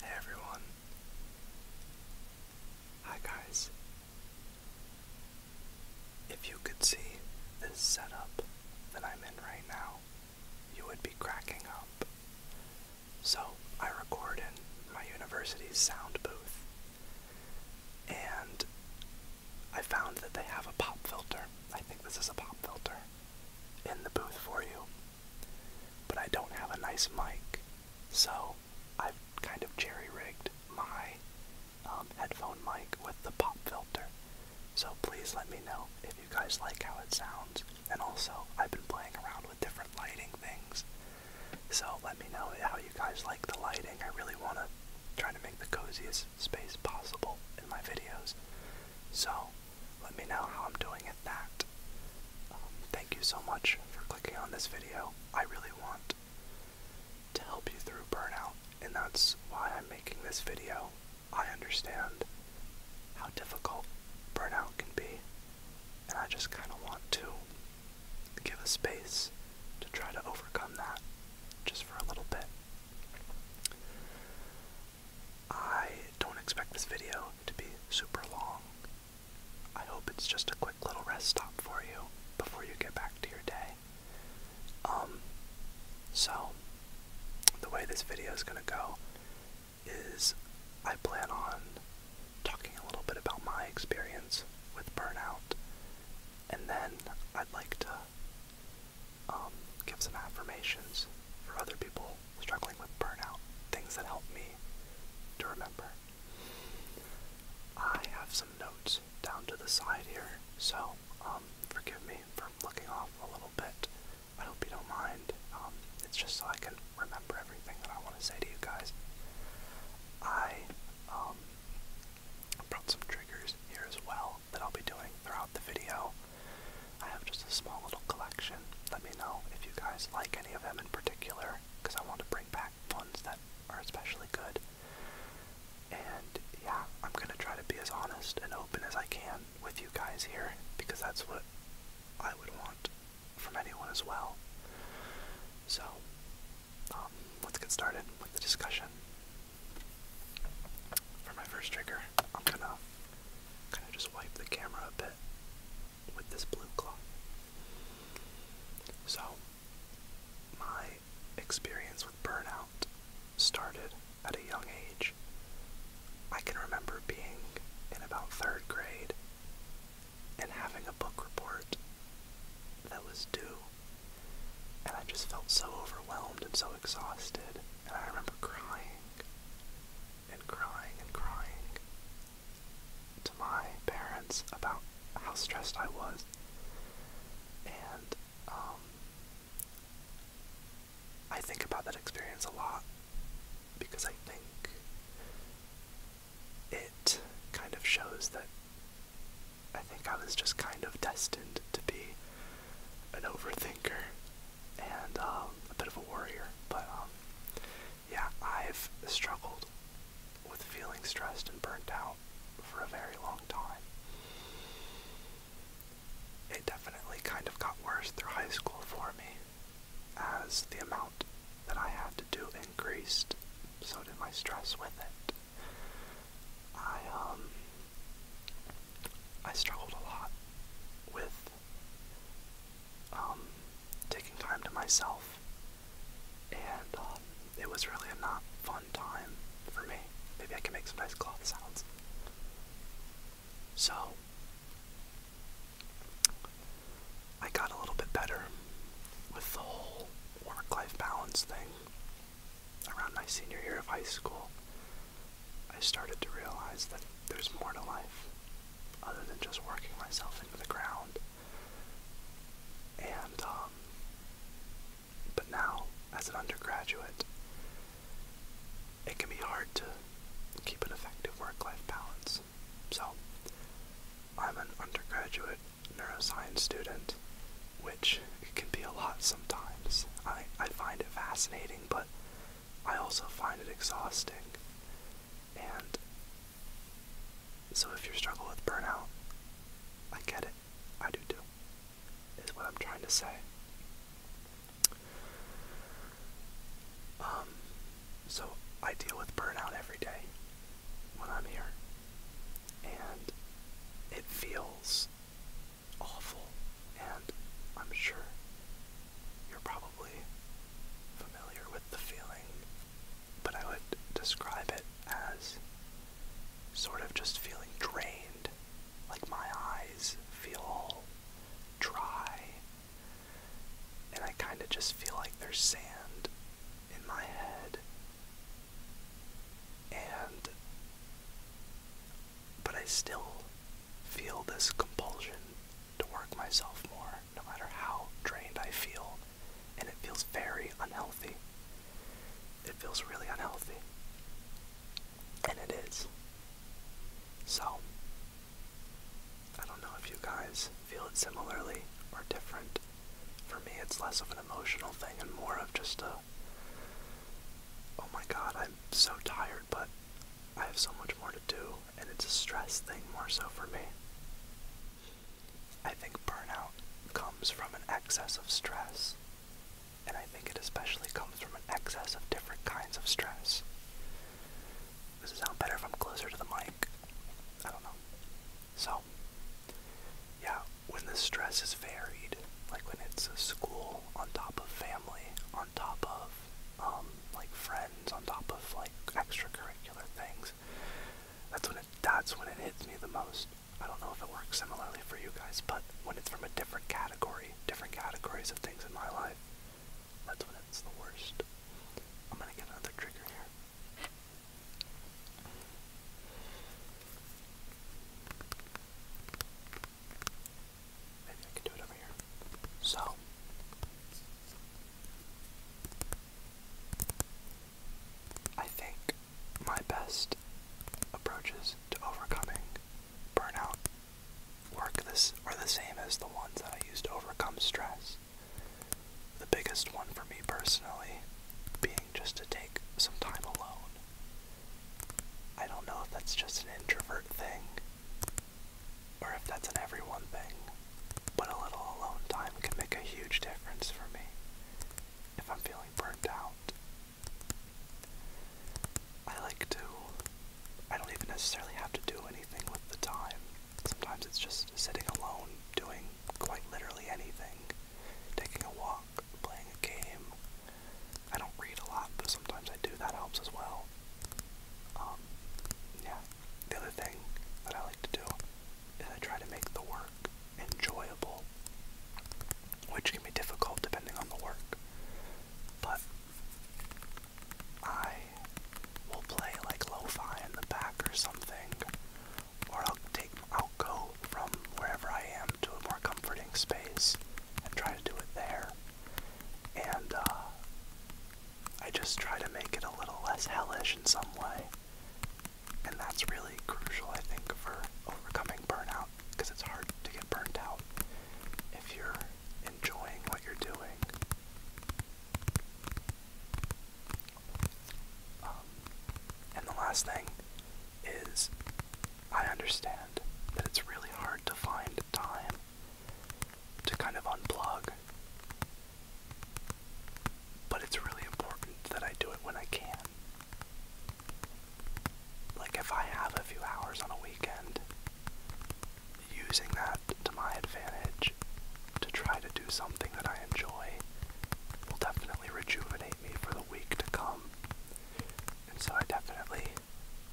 Hey everyone. Hi guys. If you could see this setup that I'm in right now, you would be cracking up. So, I record in my university's sound booth, and I found that they have a pop filter. I think this is a pop filter in the booth for you but I don't have a nice mic, so I've kind of jerry rigged my um, headphone mic with the pop filter. So please let me know if you guys like how it sounds, and also I've been playing around with different lighting things. So let me know how you guys like the lighting. I really want to try to make the coziest space possible in my videos. So let me know how I'm doing at that. Um, thank you so much for clicking on this video. I really want to help you through burnout, and that's why I'm making this video. I understand how difficult burnout can be, and I just kind of want to give a space to try to overcome that just for a little bit. I don't expect this video to be super long. I hope it's just a quick little rest stop for you before you get back to your day. Um, so, the way this video is going to go is I plan on talking a little bit about my experience with burnout, and then I'd like to um, give some affirmations for other people struggling with burnout, things that help me to remember. I have some notes down to the side here, so um, forgive me for looking off a little bit. I hope you don't mind. Um, it's just so I can remember everything that I want to say to you guys. I um, brought some triggers here as well that I'll be doing throughout the video. I have just a small little collection. Let me know if you guys like any of them in particular, because I want to bring back ones that are especially good. And yeah, I'm gonna try to be as honest and open as I can with you guys here, because that's what I would want from anyone as well. So, um, let's get started with the discussion. For my first trigger, I'm gonna kind of just wipe the camera a bit with this blue cloth. So, my experience with burnout started at a young age. I can remember being in about third grade and having a book report that was due, and I just felt so overwhelmed and so exhausted, and I remember crying and crying and crying to my parents about how stressed I was. And um, I think about that experience a lot because I think it kind of shows that I think I was just kind of destined to be an overthinker and um, a bit of a worrier. But um, yeah, I've struggled with feeling stressed and burnt out for a very long time. It definitely kind of got worse through high school for me as the amount that I had to do increased, so did my stress with it. I um I struggled a lot with um, taking time to myself, and um, it was really a not fun time for me. Maybe I can make some nice cloth sounds. So, I got a little bit better with the whole work life balance thing around my senior year of high school. I started to realize that there's more to life other than just working myself into the ground. And, um, but now, as an undergraduate, it can be hard to keep an effective work life balance. So, I'm an undergraduate neuroscience student, which can be a lot sometimes. I, I find it fascinating, but I also find it exhausting. And so if you struggle with burnout, I get it. I do too. Is what I'm trying to say. Um, so I deal with burnout every day when I'm here. And it feels awful. And I'm sure you're probably familiar with the feeling, but I would describe it as sort of just feeling drained. Like my eyes feel dry, and I kind of just feel like there's sand in my head. And, but I still feel this compulsion to work myself more, no matter how drained I feel, and it feels very unhealthy. It feels really unhealthy. And it is. So, I don't know if you guys feel it similarly or different. For me, it's less of an emotional thing and more of just a oh my god, I'm so tired, but I have so much more to do, and it's a stress thing more so for me. I think burnout comes from an excess of stress, and I think it especially comes from an excess of different kinds of stress. Does it sound better if I'm closer to the mic? I don't know. So, yeah, when the stress is varied, like when it's a school on top of family, on top of um, like friends on top of like extracurricular things. That's when it that's when it hits me the most. I don't know if it works similarly for you guys, but when it's from a different category, different categories of things in my life, that's when it's the worst. I'm gonna get another trigger here. So. I think my best approaches to overcoming burnout work this are the same as the ones that I used to overcome stress. The biggest one for me personally being just to take some time alone. I don't know if that's just an introvert thing or if that's an everyone thing, but a little alone time can make a huge difference for me if I'm feeling burnt out. I like to, I don't even necessarily have to do anything with the time. Sometimes it's just sitting alone, doing quite literally anything, taking a walk, playing a game. I don't read a lot, but sometimes I do, that helps as well. Um, yeah. The other thing that I like to do is I try to make the work enjoyable, which can be difficult depending on the work. But I will play like lo-fi in the back or something, or I'll take I'll go from wherever I am to a more comforting space and try to do it there. And uh, I just try to make it a little less hellish in some way. And that's really crucial, I think, for overcoming burnout because it's hard to get burnt out if you're enjoying what you're doing. Um, and the last thing is I understand that it's really hard to find time to kind of unplug. But it's really important that I do it when I can. Like, if I have a few hours on a weekend, using that to my advantage to try to do something that I enjoy will definitely rejuvenate me for the week to come. And so I definitely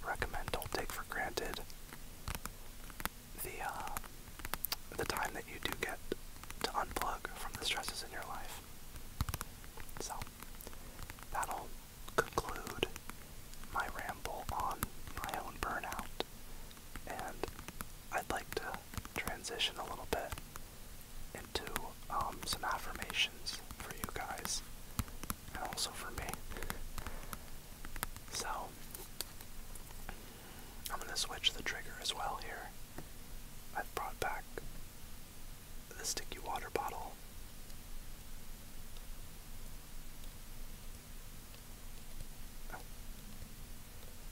recommend Don't Take for Granted the uh, the time that you do get to unplug from the stresses in your life. So that'll conclude my ramble on my own burnout, and I'd like to transition a little bit into um, some affirmations for you guys and also for me. So, I'm going to switch the trigger as well here. I've brought back the sticky water bottle.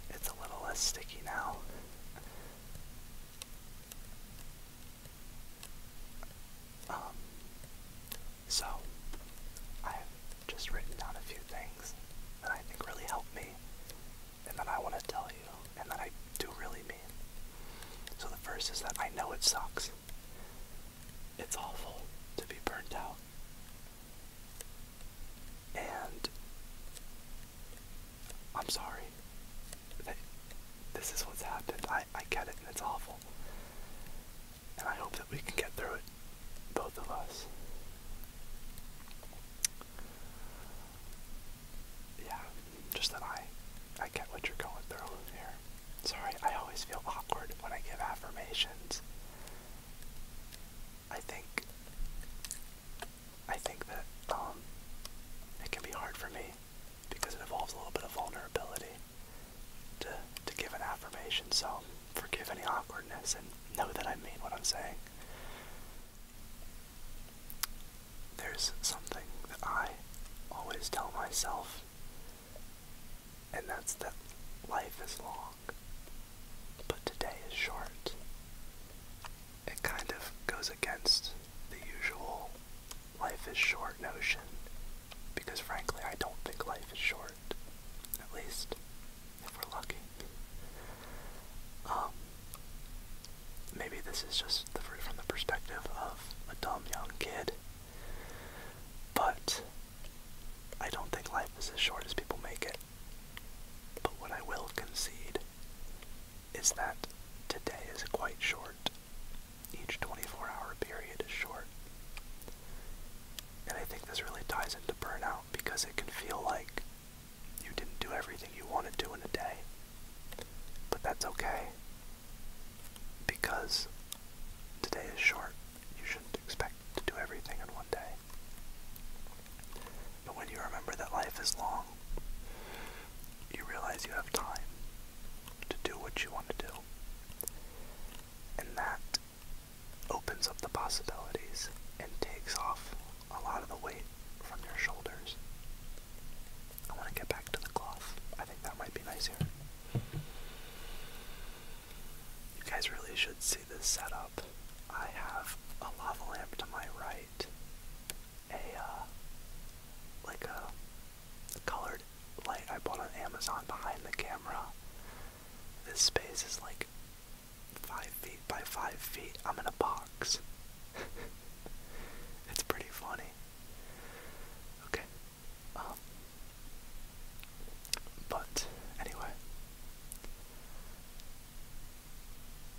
It's a little less sticky now. Um, so, I've just written down a few things that I think really helped me, and that I want to tell you, and that I do really mean. So, the first is that I know it sucks. It's awful to be burnt out. And I'm sorry that this is what's happened. I, I get it and it's awful. And I hope that we can get through it, both of us. Yeah, just that I I get what you're going through here. Sorry, I always feel awkward when I give affirmations. I think I think that um it can be hard for me because it involves a little bit of vulnerability to to give an affirmation. So forgive any awkwardness and know that I mean what I'm saying. There's something that I always tell myself, and that's that life is long, but today is short. It kind of goes against the usual life is short notion because frankly, I don't think life is short at least if we're lucky. Um, maybe this is just the, from the perspective of a dumb young kid, but I don't think life is as short as people make it. But what I will concede is that today is quite short. Each 24 hour period is short. And I think this really ties into burnout because it can feel like you didn't do everything you wanted to in a day. But that's okay because today is short. You shouldn't expect to do everything in one day. But when you remember that life is long, you realize you have time to do what you want to do. And that opens up the possibilities and takes off a lot of the weight from your shoulders. I want to get back to the cloth. I think that might be nice You guys really should see this setup. I have a lava lamp to my right, a uh, like a colored light I bought on Amazon behind the camera, this space is like five feet by five feet. I'm in a box. it's pretty funny. Okay. Um, but anyway,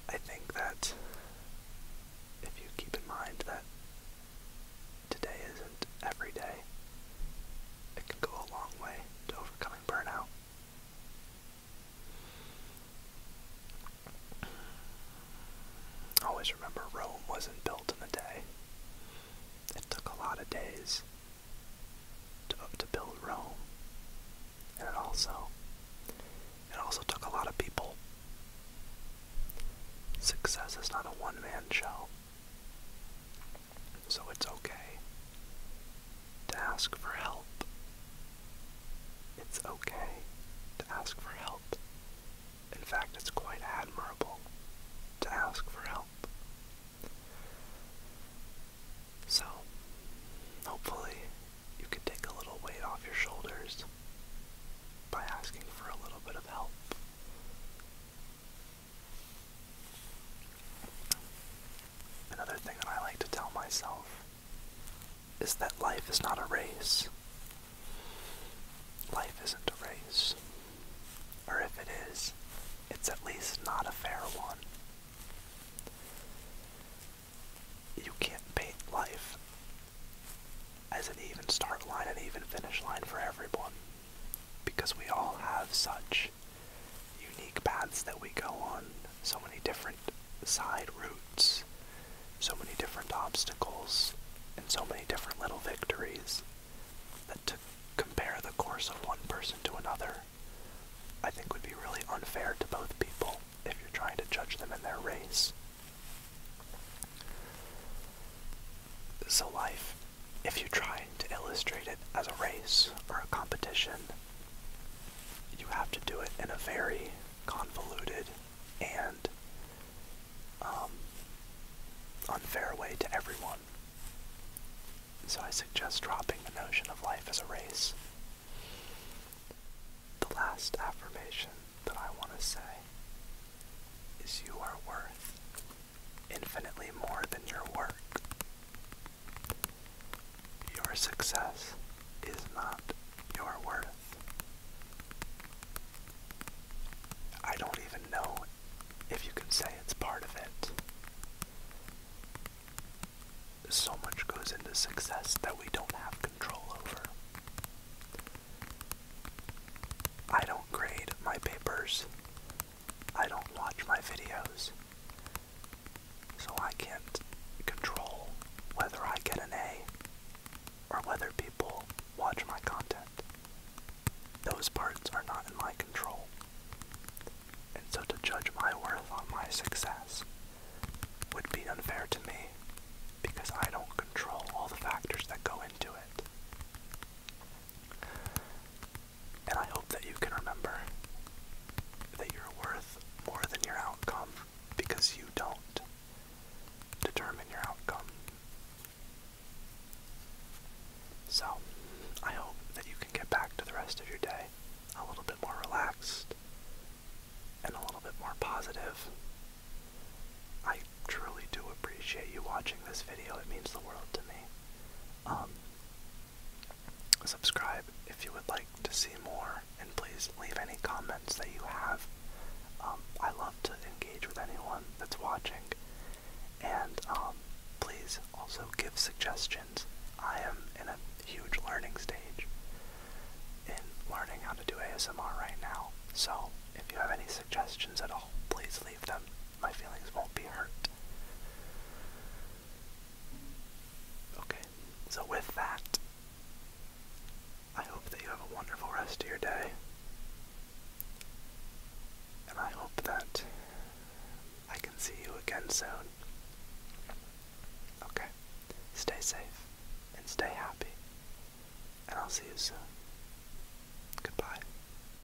I think that if you keep in mind that today isn't every day, it can go a long way to overcoming burnout. Always remember Rome wasn't built in a day. It took a lot of days to, build Rome. And it also it also took a lot of people. Success is not a one man show. So it's okay to ask for help. It's okay to ask for help. In fact, it's quite admirable to ask for help. So, hopefully, you can take a little weight off your shoulders by asking for a little bit of help. Another thing that I like to tell myself is that life is not a race. Life isn't a race. Or if it is, it's at least not a fair one. You can't paint life as an even start line and even finish line for everyone because we all have such unique paths that we go on, so many different side routes, so many different obstacles, and so many different little victories that to compare the course of one person to another I think would be really unfair to both people if you're trying to judge them in their race. So life if you try to illustrate it as a race or a competition, you have to do it in a very convoluted and um, unfair way to everyone. So I suggest dropping the notion of life as a race. The last affirmation that I want to say is you are worth infinitely more than your work. Your success is not your worth. I don't even know if you can say it's part of it. So much goes into success that we don't have control over. I don't grade my papers. I don't watch my videos, so I can't control whether I get an A or whether people watch my content. Those parts are not in my control. And so to judge my worth on my success would be unfair to me because I don't control all the factors that go into it and I hope that you can remember that you're worth more than your outcome because you don't determine your outcome. So, I hope that you can get back to the rest of your day a little bit more relaxed and a little bit more positive. I truly do appreciate you watching this video. It means the world to me. Um, subscribe if you would like to see more, and please leave any comments that you have. Um, I love to engage with anyone that's watching, and um, please also give suggestions. I am in a huge learning stage in learning how to do ASMR right now, so if you have any suggestions at all, please leave them my feelings won't be hurt. Okay, so with that, I hope that you have a wonderful rest of your day. And I hope that I can see you again soon. Okay, stay safe and stay happy. And I'll see you soon. Goodbye.